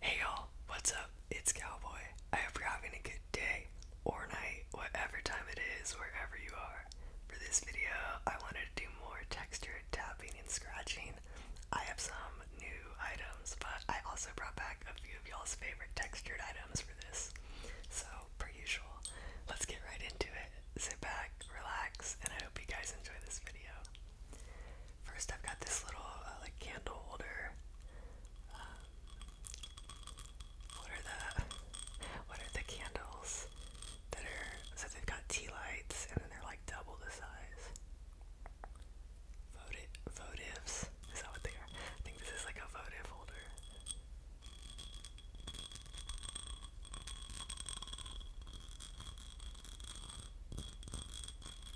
Hey y'all, what's up? It's Cowboy. I hope you're having a good day or night, whatever time it is, wherever you are. For this video, I wanted to do more texture tapping and scratching. I have some new items, but I also brought back a few of y'all's favorite textured items for this. So, per usual, let's get right into it. Sit back, relax, and I hope you guys enjoy this video. First, I've got this little uh, like candle holder. Um, what are the what are the candles that are so they've got tea lights and then they're like double the size. Votive, votives is that what they are? I think this is like a votive holder.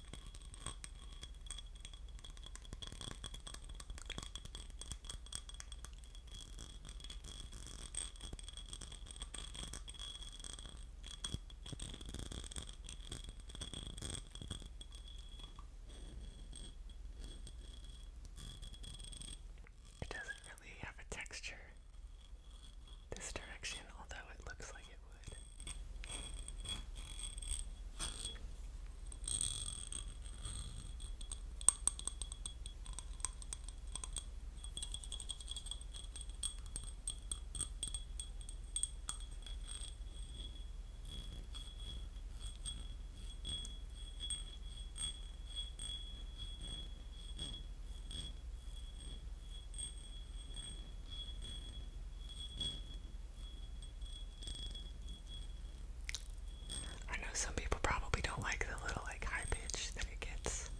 It doesn't really have a texture this direction, although it looks like it would. All I know some people probably don't like the little like high pitch that it gets.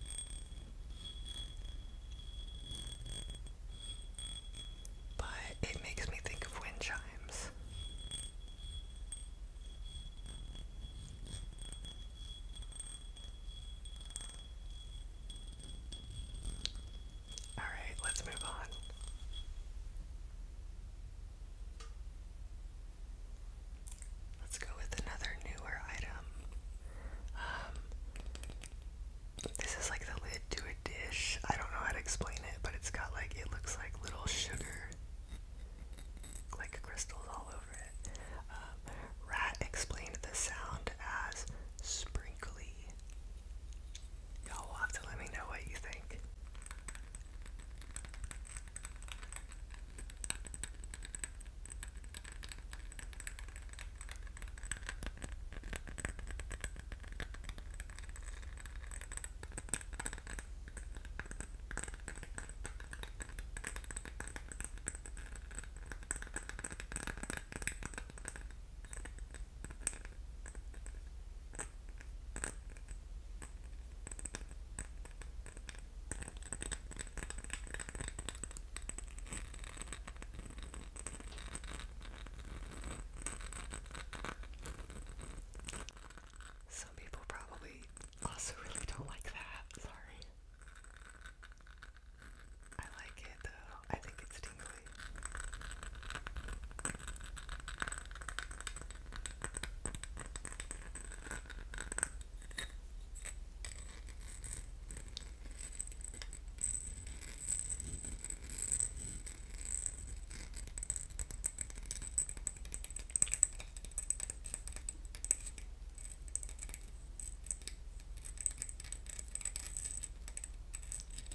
But it makes me think of wind chimes. Alright, let's move on. Let's go with another newer item. Um, this is like the lid to a dish. I don't know how to explain it, but it's got like, it looks like little sugar, like crystals all over it. Um, Rat explained the sound as sprinkly. Y'all will have to let me know what you think. Some people probably also really don't like that. Sorry. I like it though. I think it's tingly.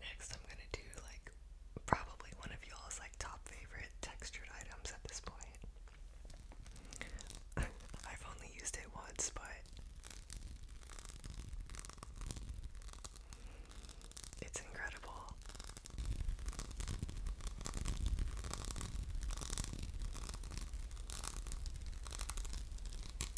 Next, I'm gonna do like probably one of y'all's like top favorite textured items at this point. I've only used it once, but it's incredible.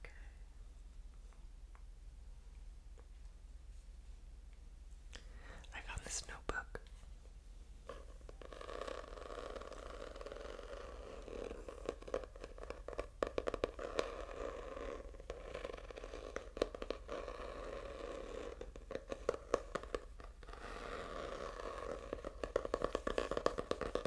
Okay. I found this notebook.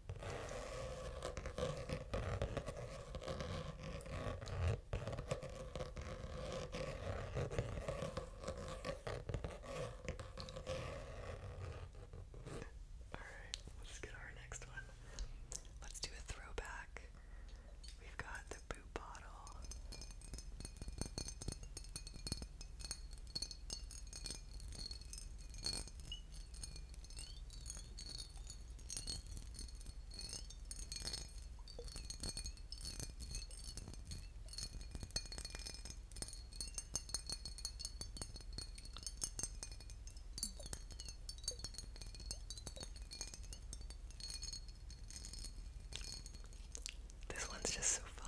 Alright, let's get our next one. Let's do a throwback. We've got the boot bottle. This one's just so fun.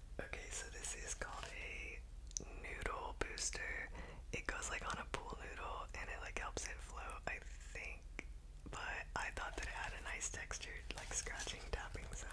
Okay, so this is called a noodle booster. It goes like on a pool noodle and it like helps it float, I think. But I thought that it had a nice textured, like scratching, tapping sound.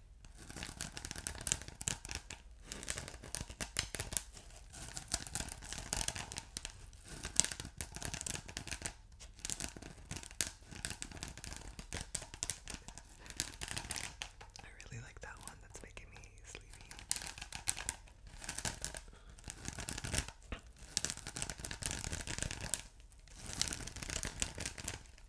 I really like that one that's making me sleepy.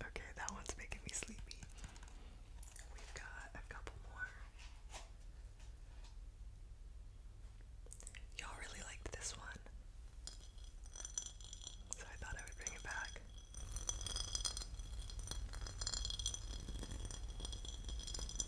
Okay, that one's making me sleepy. We've got a couple more. Y'all really liked this one. So I thought I would bring it back.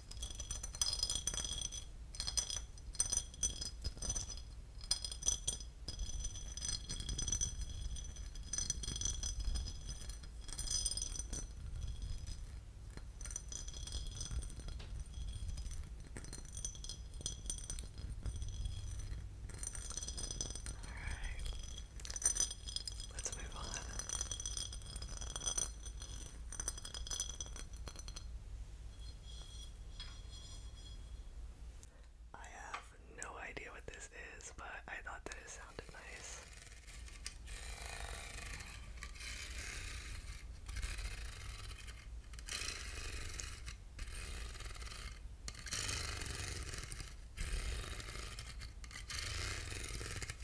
Alright. Let's move on. I have no idea what this is, but I thought that it sounded nice.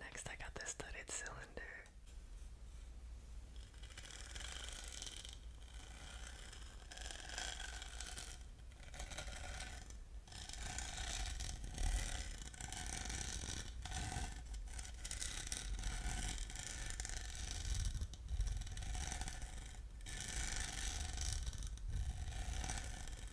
Next, I got the studded cylinder.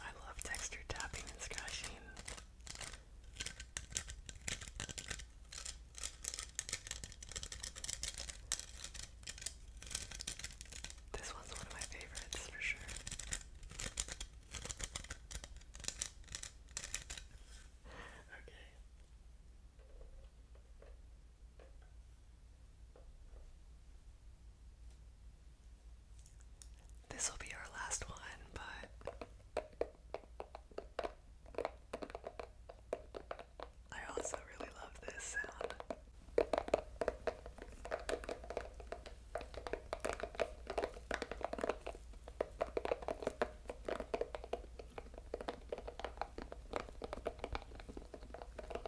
I love texture tapping and scratching. This one's one of my favorites for sure. Okay. This will be our last one, but I also really love this sound.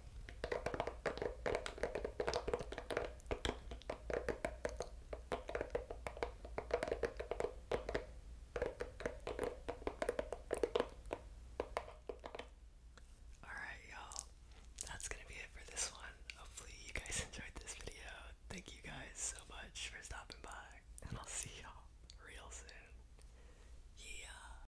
Alright, y'all, that's gonna be it for this one. Hopefully, you guys enjoyed this video. Thank you guys so much for stopping by, and I'll see y'all real soon. Yeah.